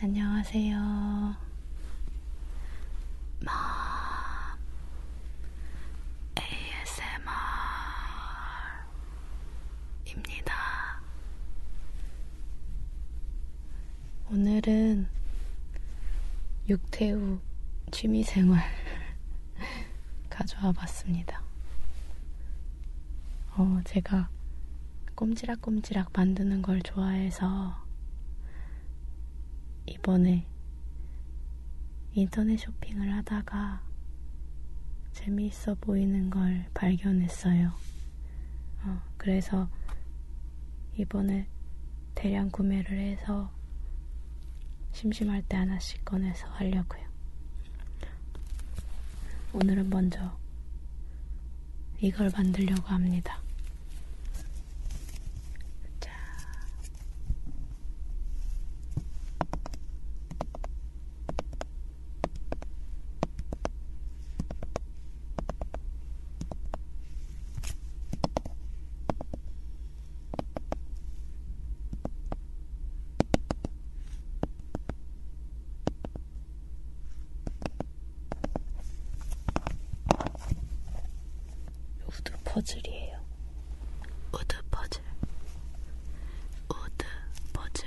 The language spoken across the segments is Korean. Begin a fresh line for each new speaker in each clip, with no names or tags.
안녕하세요. 마 ASMR입니다. 오늘은 육태우 취미생활 가져와 봤습니다. 어, 제가 꼼지락꼼지락 만드는 걸 좋아해서 이번에 인터넷 쇼핑을 하다가 재미있어 보이는 걸 발견했어요. 어, 그래서 이번에 대량 구매를 해서 심심할 때 하나씩 꺼내서 하려고요. 오늘은 먼저 이걸 만들려고 합니다. 자. 우드 퍼즐이에요. 우드 퍼즐. 우드 퍼즐.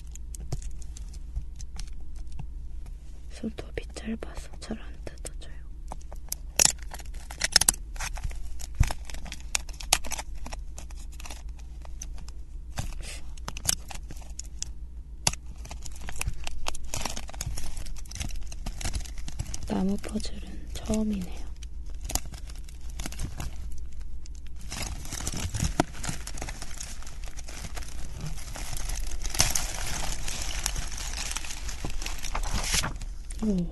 손톱이 짧아서 잘 안 뜯어져요. 나무 퍼즐은 처음이네요. 음.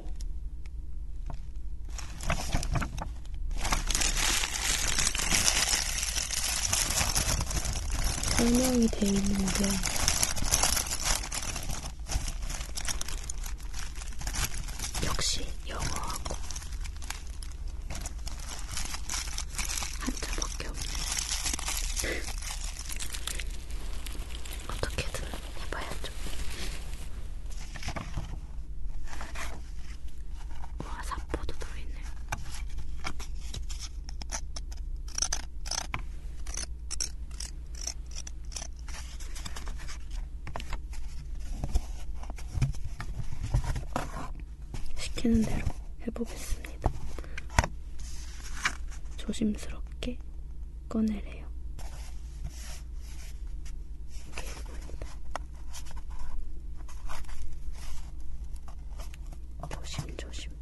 설명이 돼 있는데 역시 영어하고 한자밖에 없네. 어떻게든 해봐야죠. 와, 사포도 들어있네. 시키는 대로 해보겠습니다. 조심스럽게 꺼내래요. 조심 조심.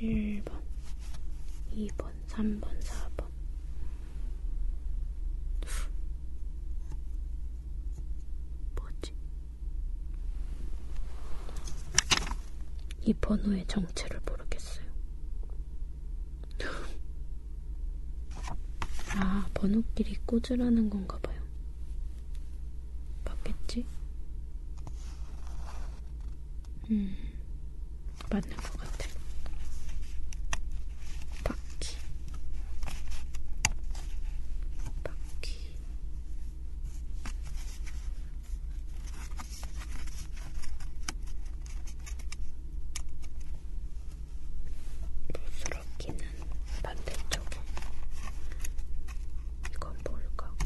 1번, 2번, 3번, 4번. 뭐지? 이 번호의 정체를 모르겠어요. 아, 번호끼리 꽂으라는 건가 봐요. 맞겠지? 음, 맞는 것 같아. 바퀴, 바퀴. 부스러기는 반대쪽. 이건 뭘까?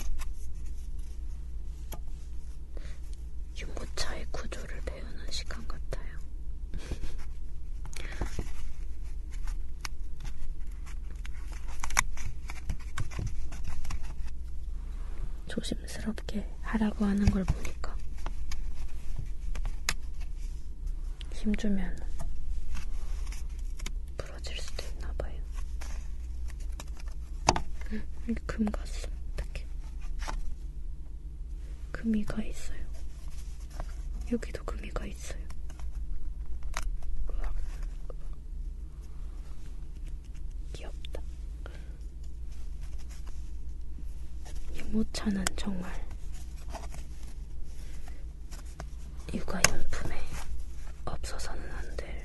유모차의 구조를 배우는 시간 같아요. 조심스럽게 하라고 하는 걸 보니까 힘주면 부러질 수도 있나봐요. 여기 음, 금 갔어. 어떡해. 금이 가 있어요. 여기도 금이 가 있어요. 으악, 으악. 귀엽다. 유모차는 정말 육아용품에 없어서는 안될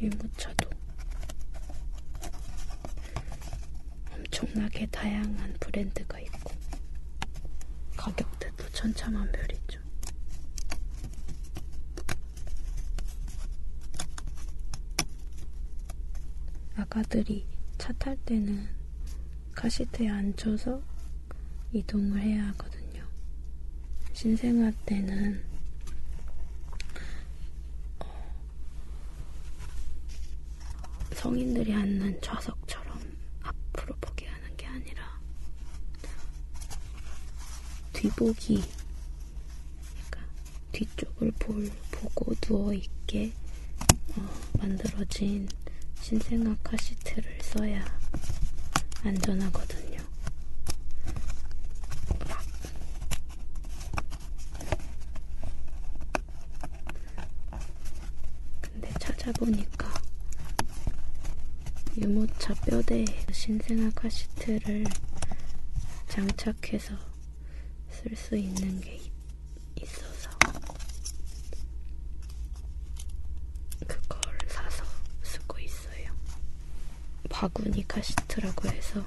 유모차도 엄청나게 다양한 브랜드가 있고 가격대도 천차만별이죠. 아가들이 차탈 때는 카시트에 앉혀서 이동을 해야 하거든요. 신생아 때는 어, 성인들이 앉는 좌석처럼 앞으로 보게 하는 게 아니라 뒤보기 그러니까 뒤쪽을 볼, 보고 누워있게 어, 만들어진 신생아 카시트를 써야
안전하거든요.
근데 찾아보니까 유모차 뼈대에 신생아 카시트를 장착해서 쓸 수 있는 게 있어서 그걸 사서 쓰고 있어요. 바구니 카시트라고 해서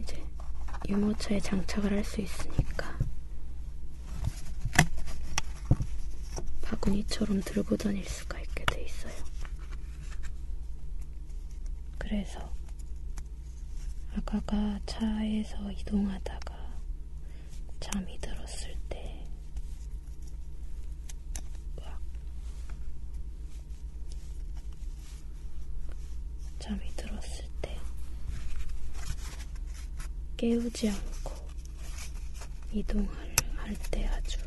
이제 유모차에 장착을 할 수 있으니까 바구니처럼 들고 다닐 수가 있게 돼 있어요. 그래서 아가가 차에서 이동하다가 잠이 들었을 때막 잠이 들었을 때 깨우지 않고 이동을 할때 아주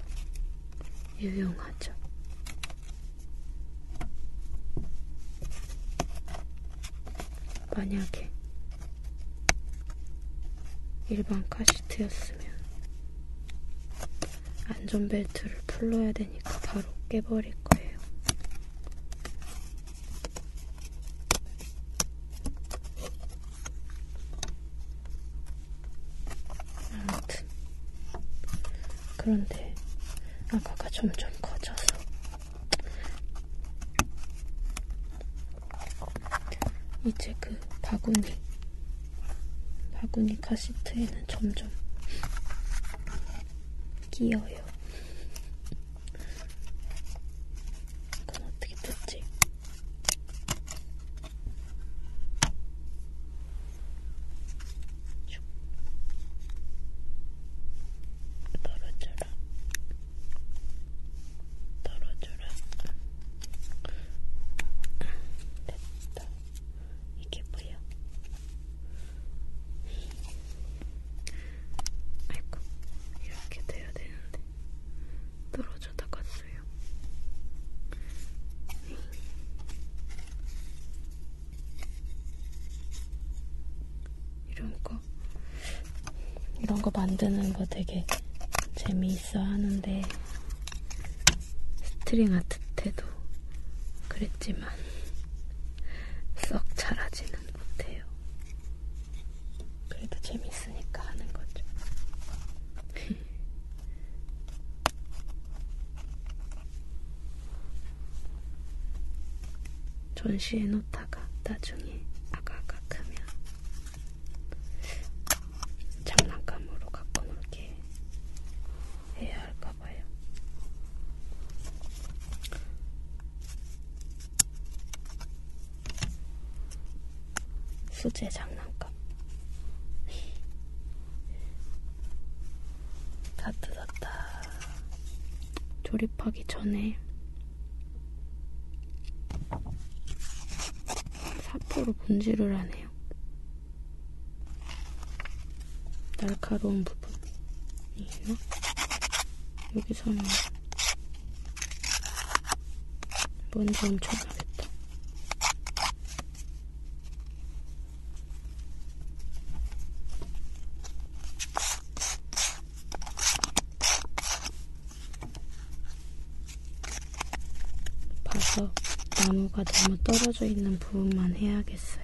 유용하죠. 만약에 일반 카시트였으면 안전벨트를 풀러야 되니까 바로 깨버릴 거예요. 아무튼 그런데 아가가 점점 커져서 이제 그 바구니 바구니 카시트에는 점점 끼어요. 그건 어떻게 뜯지? 떨어져라. 떨어져라. 됐다. 이게 뭐야? 아이고, 이렇게 돼야 되는데 떨어져다 갔어요. 이런 거, 이런 거 만드는 거 되게 재미있어 하는데 스트링 아트 때도 그랬지만 썩 잘하지는 못해요. 그래도 재밌으니까 하는 거죠. 전시해 놓다가 나중에 아가가 크면 장난감으로 갖고 놀게 해야 할까봐요. 수제 장난감. 다 뜯었다. 조립하기 전에 사포로 분질을 하네요. 같네요. 날카로운 부분이 있나? 여기서는 먼저 엄청 나겠다. 봐서 나무가 너무 떨어져 있는 관련된 부분만 해야겠어요.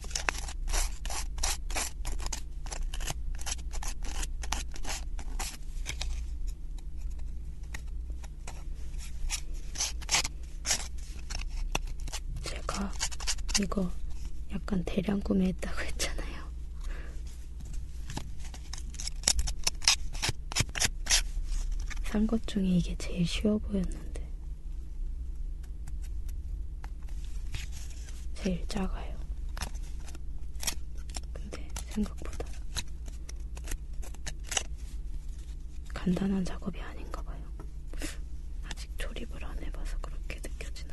제가 이거 약간 대량 구매했다고 했잖아요. 산 것 중에 이게 제일 쉬워 보였는데. 제일 작아요. 근데 생각보다 간단한 작업이 아닌가 봐요. 아직 조립을 안 해봐서 그렇게 느껴지나.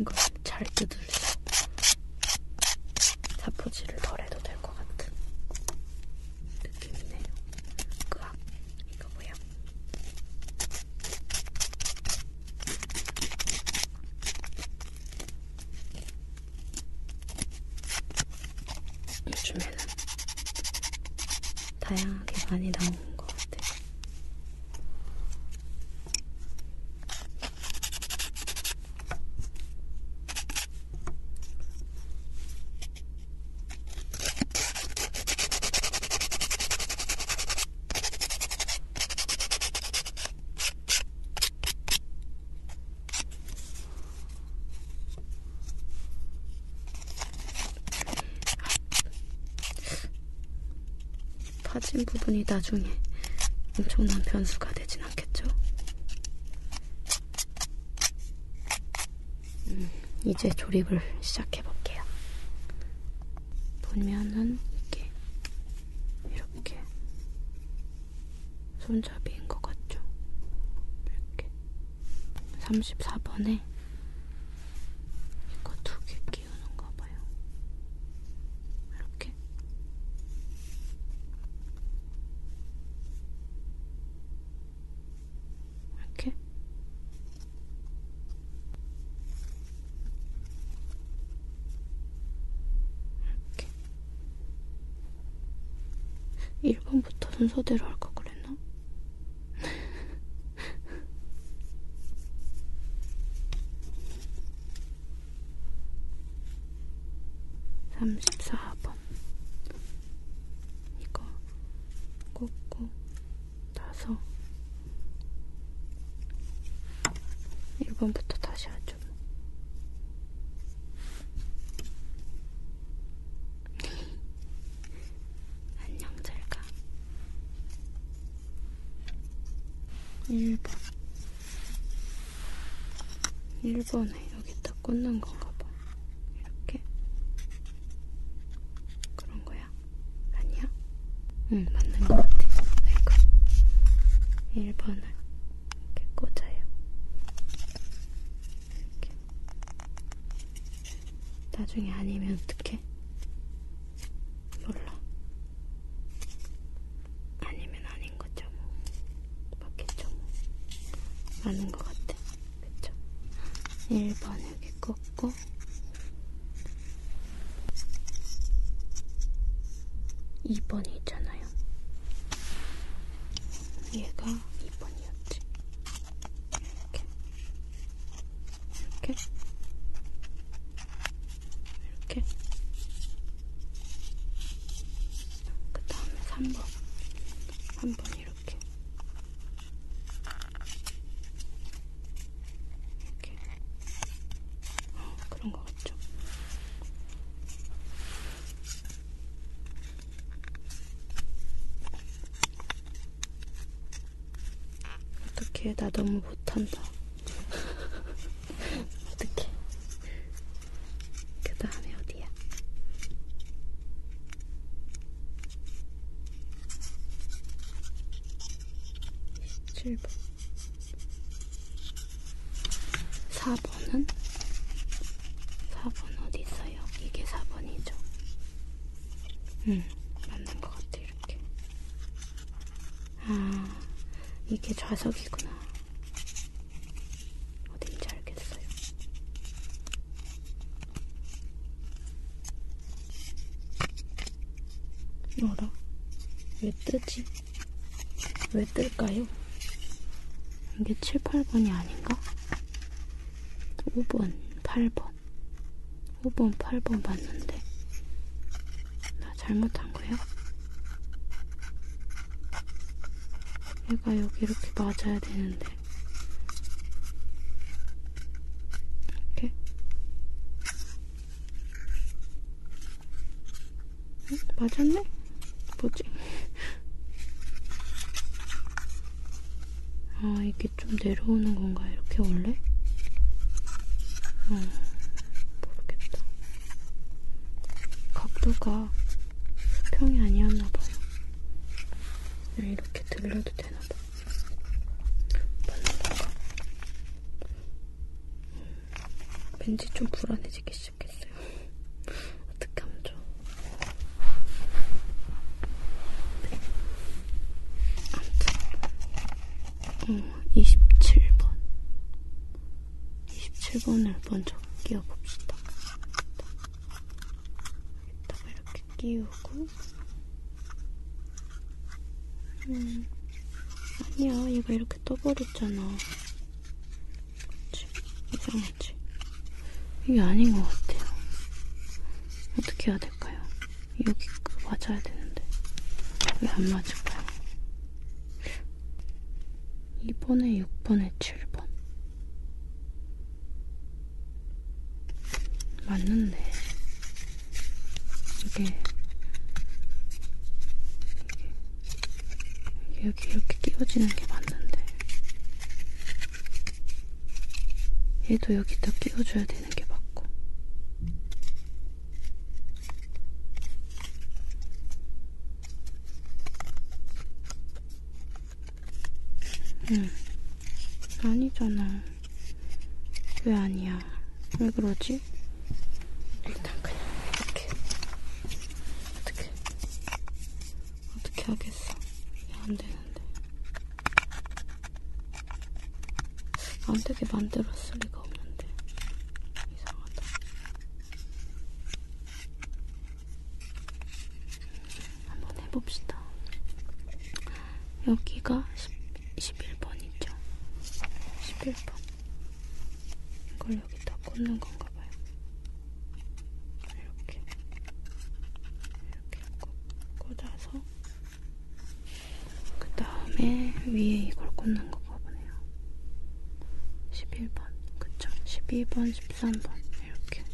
이거 잘 뜯을수 사포질을 덜 해도 될 것 같은 느낌이네요. 그 이거 뭐야? 요즘에는 다양하게 많이 나오는 것 같아요. 파진 부분이 나중에 엄청난 변수가 되진 않겠죠? 음, 이제 조립을 시작해 볼게요. 보면은 이게 이렇게 손잡이인 것 같죠? 이렇게 34번에 이거 두 개 끼우는가 봐요. 이렇게 이렇게 이렇게 1번부터 순서대로 할까 그랬나? 삼십사 번 이거 꽂고 나서 1번부터 다시 하죠. 안녕, 잘 가. 1번. 1번에 여기 딱 꽂는 건가 봐. 이렇게 그런 거야? 아니야? 응, 맞는 것 같아. 아이고, 1번을 이렇게 꽂아요. 이렇게. 나중에 아니면 어떡해? 몰라. 아니면 아닌 거죠, 뭐. 맞겠죠, 뭐. 맞는 것 같아. 그쵸? 1번 여기 꽂고 이번이 있잖아요. 얘가 이번이었지 이렇게. 이렇게. 이렇게. 그 다음에 3번. 3번. 이렇게 이렇게 어, 그런 거 같죠? 어떻게 나 너무 못한다. 어떻게? 그 다음에 어디야? 7번 4번은 4번 어디 있어요? 이게 4번이죠. 음, 맞는 것 같아 이렇게. 아, 이게 좌석이구나. 어딘지 알겠어요. 어라? 왜 뜨지? 왜 뜰까요? 이게 7, 8번이 아닌가? 5번, 8번. 5번, 8번 봤는데. 나 잘못한 거야? 얘가 여기 이렇게 맞아야 되는데. 이렇게 어? 맞았네? 뭐지? 아 이게 좀 내려오는 건가 이렇게 원래? 어 모르겠다 각도가 수평이 아니었나봐요 네, 이렇게 들려도 되나봐. 발라볼까? 왠지 좀 불안해지기 시작했어요. 어떻게 하면 좋아? 아무튼, 어, 27번. 27번을 먼저 끼워봅시다. 이따가 이렇게 끼우고 음, 아니야 얘가 이렇게 떠버렸잖아 그치? 이상하지? 이게 아닌 것 같아요 어떻게 해야 될까요? 여기 그 맞아야 되는데 왜 안 맞을까요? 2번에 6번에 7번 맞는데 이게 이게 여기 이렇게 끼워지는 게 맞는데 얘도 여기다 끼워줘야 되는 게 맞고 응. 아니잖아. 왜 아니야? 왜 그러지? 일단 그냥 이렇게. 어떻게. 어떻게 하겠어. 안 되는데. 안 되게 만들었을 리가 없는데. 이상하다. 한번 해봅시다. 여기가 10, 11번이죠. 11번. 이걸 여기다 꽂는 건가 봐요. 이렇게. 이렇게 꽂아서. 그 다음에 위에 이걸 꽂는 건가 보네요. 11번. 그쵸. 12번, 13번. 이렇게.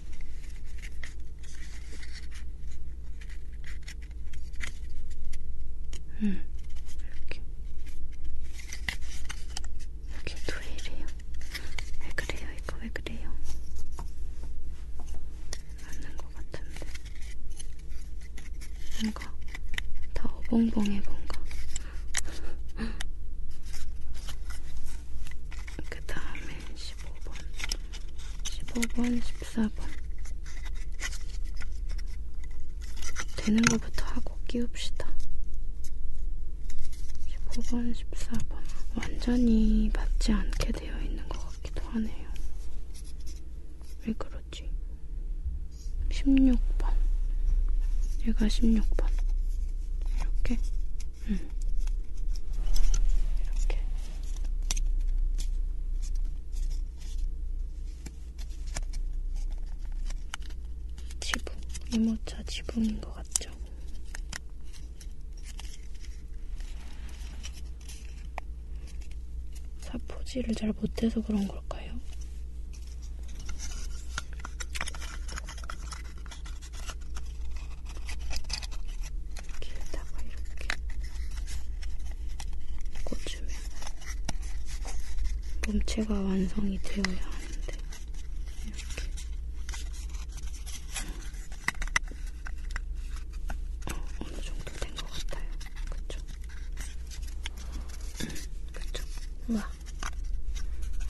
응, 음, 이렇게. 이게 왜 이래요? 왜 그래요? 이거 왜 그래요? 맞는 것 같은데. 뭔가 다 어벙벙해 뭔가. 그 다음에 다음에 15번, 15번, 14번 되는 것부터 하고 끼웁시다. 15번, 14번 완전히 맞지 않게 되어 있는 것 같기도 하네요. 왜 그러지? 16번 얘가 16번 이렇게? 응 이렇게 지붕, 이모차 지붕인 것 같죠? 사포질을 잘 못해서 그런 걸까요? 여기에다가 이렇게 꽂으면 몸체가 완성이 되어야 하는데 이렇게 어, 어느 정도 된 것 같아요. 그쵸? 그쵸? 우와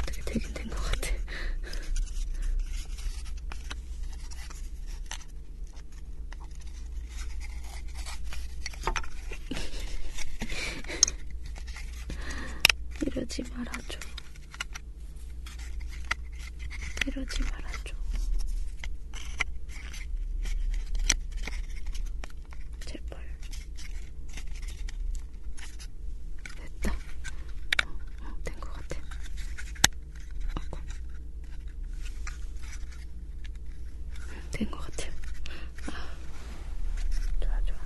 되게 되긴 된 것 같아. 이러지 말아줘. 이러지 말아줘. 제발. 됐다. 어, 어, 된것 같아. 아까 된것 같아요. 아, 좋아 좋아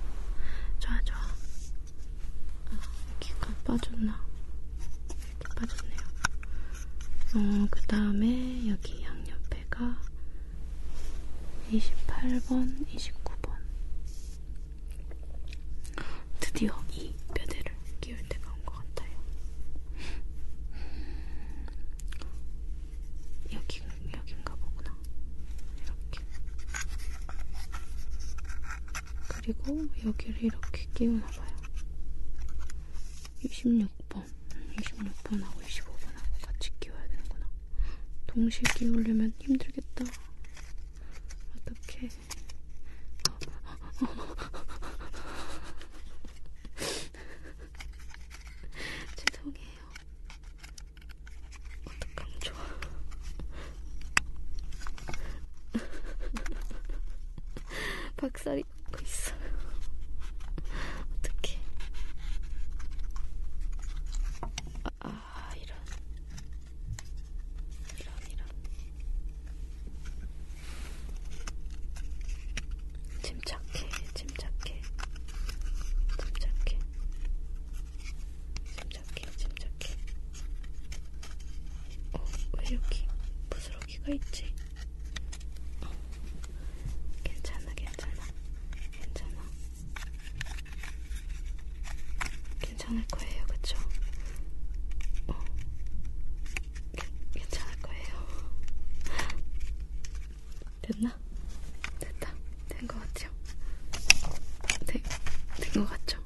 좋아 좋아. 아, 여기가 빠졌나? 이렇게 빠졌네요. 어, 그 다음에 여기 양옆에가 28번, 29번. 드디어 이 뼈대를 끼울 때가 온 것 같아요. 여기 여긴가 보구나. 이렇게. 그리고 여기를 이렇게 끼우나 봐요. 26번, 26번하고 25번하고 같이 끼워야 되는구나. 동시에 끼우려면 힘들겠다. 어떻게? 죄송해요. 어떡하면 좋아. 박살이 나고 있어요. 어떡해. 아, 아 이런. 이런, 이런. 침착해, 침착해, 침착해, 침착해, 침착해. 어, 왜 여기 부스러기가 있지? 어. 괜찮아, 괜찮아, 괜찮아. 괜찮을 거예요, 그쵸? 어. 괜찮을 거예요. 됐나? 됐다. 된 것 같죠? 네, 된것 같죠?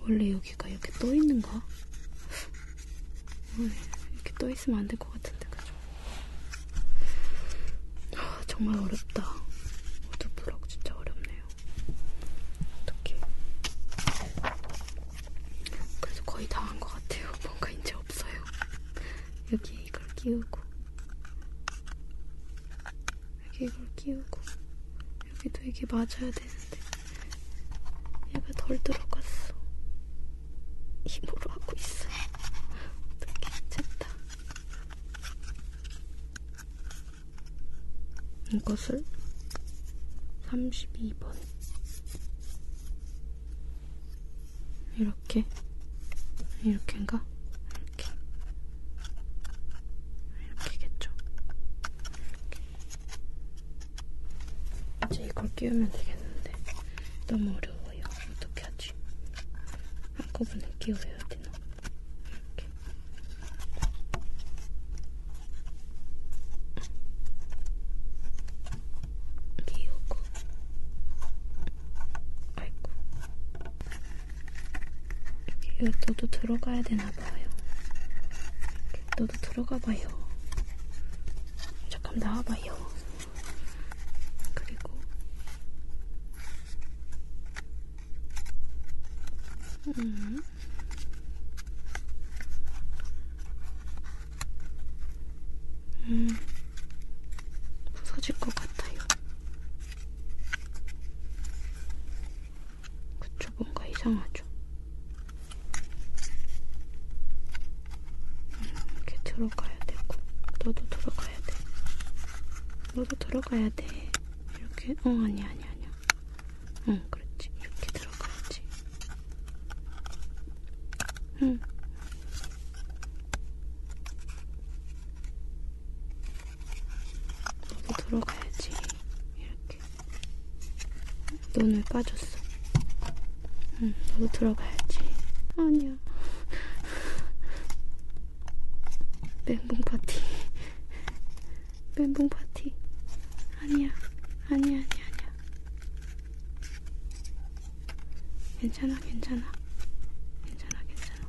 원래 여기가 이렇게 떠 있는가? 음, 이렇게 떠 있으면 안 될 것 같은데, 그죠? 아, 정말 어렵다. 우드 블럭 진짜 어렵네요. 어떻게? 그래서 거의 다 한 것 같아요. 뭔가 이제 없어요. 여기에 이걸 끼우고 여기 이걸 끼우고 여기도 이게 맞아야 되는데 얘가 덜 들어갔어. 힘으로 하고 있어. 어떻게 됐다. 이것을 32번 이렇게 이렇게인가? 이렇게 이렇게겠죠. 이렇게. 이제 이걸 끼우면 되겠는데 너무 어려워요. 어떻게 하지? 한꺼번에 끼워야 되나? 이렇게 미우고 아이고 여기 너도 들어가야 되나봐요 너도 들어가봐요 잠깐 나와봐요 그리고 음. 음, 부서질 것 같아요. 그쵸, 뭔가 이상하죠? 음, 이렇게 들어가야 되고, 너도 들어가야 돼. 너도 들어가야 돼. 이렇게, 어, 아니야, 아니야, 아니야. 응, 그렇지. 이렇게 들어가야지. 응. 너도 들어가야지. 이렇게. 눈을 빠졌어. 응, 너도 들어가야지. 아니야. 멘붕 파티. 멘붕 파티. 아니야. 아니야, 아니야, 아니야. 괜찮아, 괜찮아. 괜찮아, 괜찮아.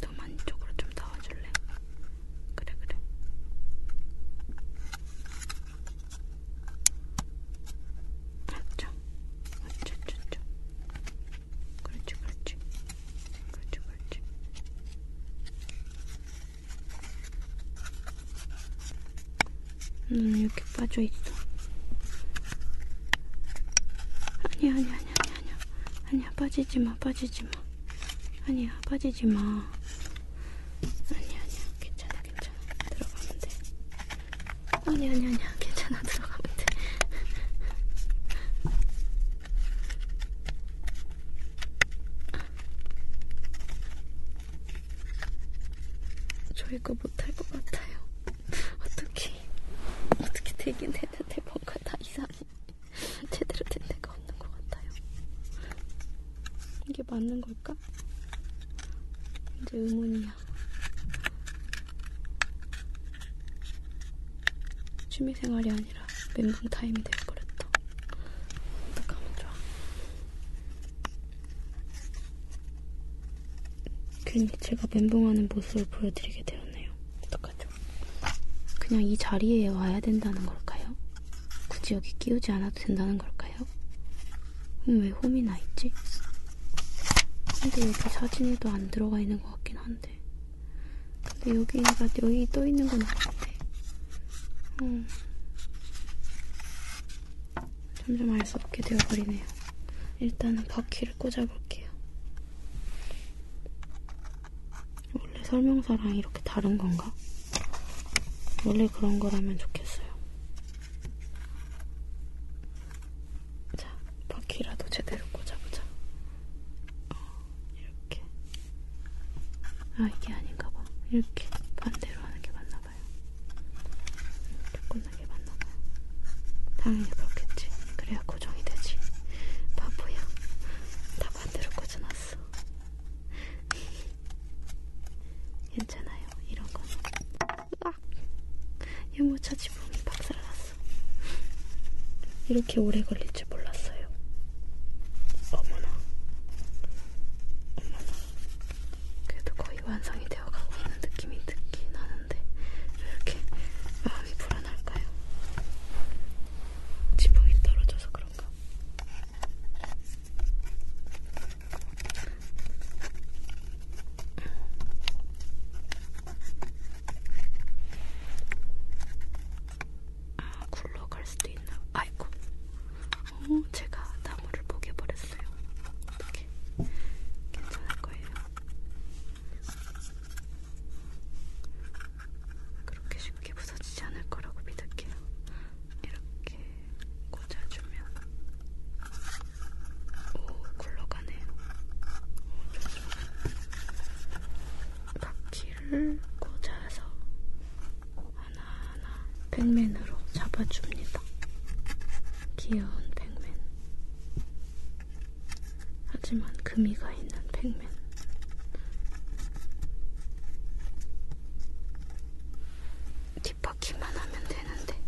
너만 이쪽으로 좀 나와줄래? 그래, 그래. 맞죠? 맞죠, 맞죠. 그렇지, 그렇지. 그렇지, 그렇지. 음, 이렇게 빠져있어. 아니야, 아니야, 아니야, 아니야. 아니야, 빠지지 마, 빠지지 마. 아니야, 빠지지 마. 아니야, 아니야, 괜찮아, 괜찮아. 들어가면 돼. 아니야, 아니야, 아니야, 괜찮아, 들어가면 돼. 저 이거 못할 것 같아요. 어떻게 어떻게 되긴 했는데 뭔가 다 이상해. 제대로 된 데가 없는 것 같아요. 이게 맞는 걸까? 이제 의문이야. 취미생활이 아니라 멘붕 타임이 될 거랬다. 어떡하면 좋아. 괜히 제가 멘붕하는 모습을 보여드리게 되었네요. 어떡하죠? 그냥 이 자리에 와야 된다는 걸까요? 굳이 여기 끼우지 않아도 된다는 걸까요? 그럼 왜 홈이 나 있지? 근데 여기 사진에도 안 들어가 있는 것 같긴 한데. 근데 여기가 여기 떠 있는 건 아닌데. 음. 점점 알 수 없게 되어버리네요. 일단은 바퀴를 꽂아볼게요. 원래 설명서랑 이렇게 다른 건가? 원래 그런 거라면 좋겠어요. 자, 바퀴라도 제대로 꽂아보자. 어, 이렇게. 아 이게 아닌가 봐. 이렇게 반대로 하는 게 맞나 봐요. 이렇게 끝나게 맞나 봐. 당연히 그렇겠지. 그래야 고정이 되지. 바보야. 다 반대로 꽂아놨어. 괜찮아요. 이런 거는. 으악! 유모차 지붕이 박살났어. 이렇게 오래 걸릴 줄 몰랐어요. 어머나. 어머나. 그래도 거의 완성이 되어가고 있는 느낌이 듣긴 하는데 왜 이렇게 마음이 불안할까요? 지붕이 떨어져서 그런가? 아, 굴러갈 수도 있나? 아이고, 어, 제가 나무를 포개버렸어요. 어떻게 괜찮을 거예요. 그렇게 쉽게 부서지지 않을 거라고 믿을게요. 이렇게 꽂아주면 오 굴러가네요. 오, 좋죠. 바퀴를 꽂아서 하나하나 팩맨으로 잡아줍니다. 귀여운 팩맨. 하지만 금이가 있는 팩맨. 뒷바퀴만 하면 되는데.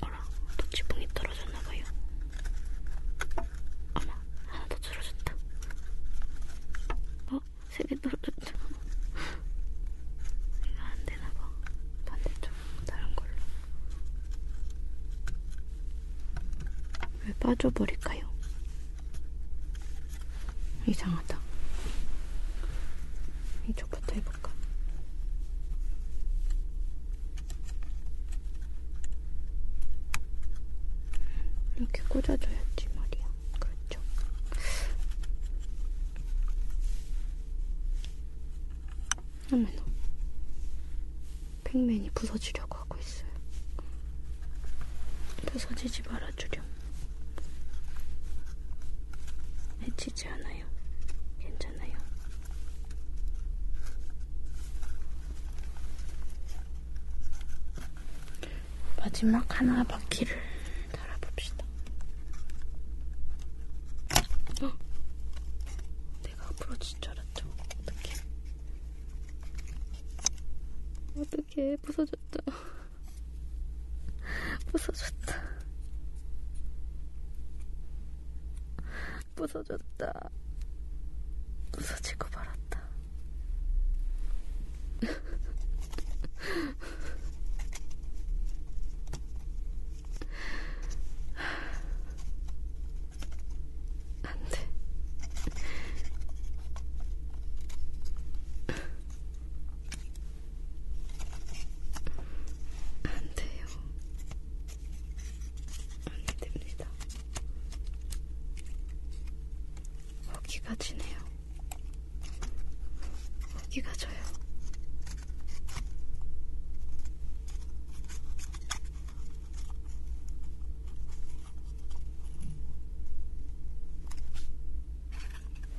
어라, 또 지붕이 떨어졌나봐요. 어머, 하나 더 줄어졌다. 어? 세 개 떨어졌다. 이거 안 되나봐. 반대쪽, 다른 걸로. 왜 빠져버릴까요? 이상하다. 이쪽부터 해볼까? 이렇게 꽂아줘야지 말이야. 그렇죠. 어머나. 팩맨이 부서지려고 하고 있어요. 부서지지 말아주렴. 해치지 않아요. 괜찮아요. 마지막 하나 바퀴를 달아봅시다. 헉! 내가 부러진 줄 알았죠. 어떡해. 어떡해. 부서졌다. 부서졌다. 부서졌다. 부서지고 말았다. 안돼. 안돼요. 안됩니다. 여기가 지네요. 여기가 져요.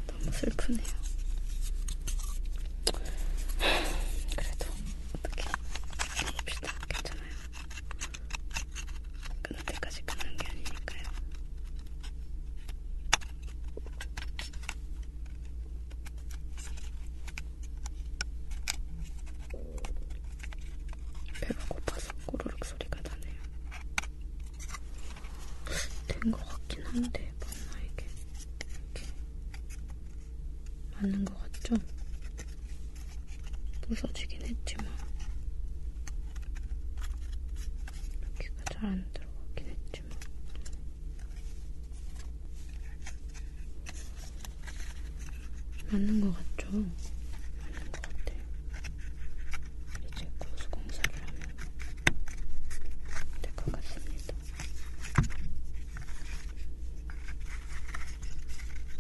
너무 슬프네요. 그래도 어떻게 해봅시다. 괜찮아요. 끊을 때까지 끊는 게 아니니까요. 배가 고파서 꼬르륵 소리가 나네요. 된 것 같긴 한데 맞나 이게 이렇게 맞는 것 같죠? 부서지긴 했지만 여기가 잘 안 들어가긴 했지만 맞는 것 같죠? 맞는 것 같아요. 이제 고수공사를 하면 될 것 같습니다.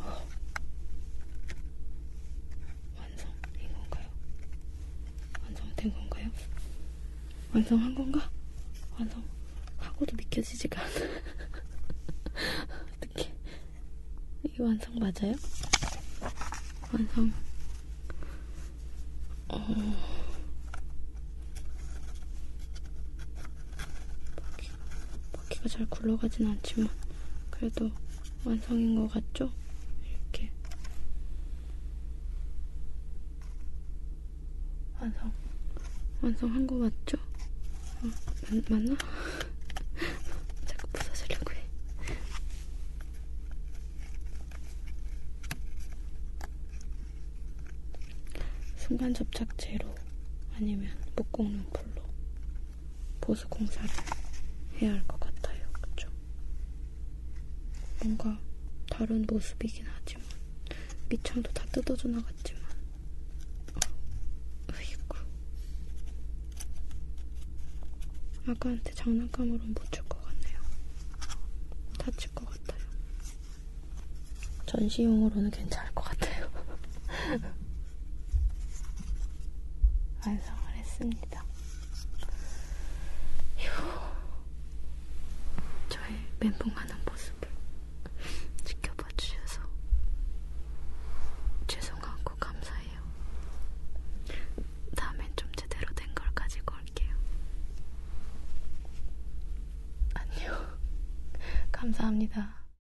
어. 완성인 건가요? 완성된 건가요? 완성한 건가? 완성하고도 믿겨지지가 않아. 어떻게? 이게 완성 맞아요? 완성. 어. 바퀴, 바퀴가 잘 굴러가진 않지만 그래도 완성인 것 같죠? 이렇게 완성 완성한 거 맞죠? 어, 맞, 맞나? 자꾸 부서지려고 해 순간 접착제로 아니면 목공용풀로 보수 공사를 해야 할 것 같아요. 그쵸? 뭔가 다른 모습이긴 하지만 밑창도 다 뜯어져 나갔지만 으이구 아까한테 장난감으로는 못 줄 것 같네요. 다칠 것 같아요. 전시용으로는 괜찮을 것 같아요. 완성을 했습니다. 휴. 저의 멘붕하는 모습을 지켜봐 주셔서 죄송하고 감사해요. 다음엔 좀 제대로 된 걸 가지고 올게요. 안녕. 감사합니다.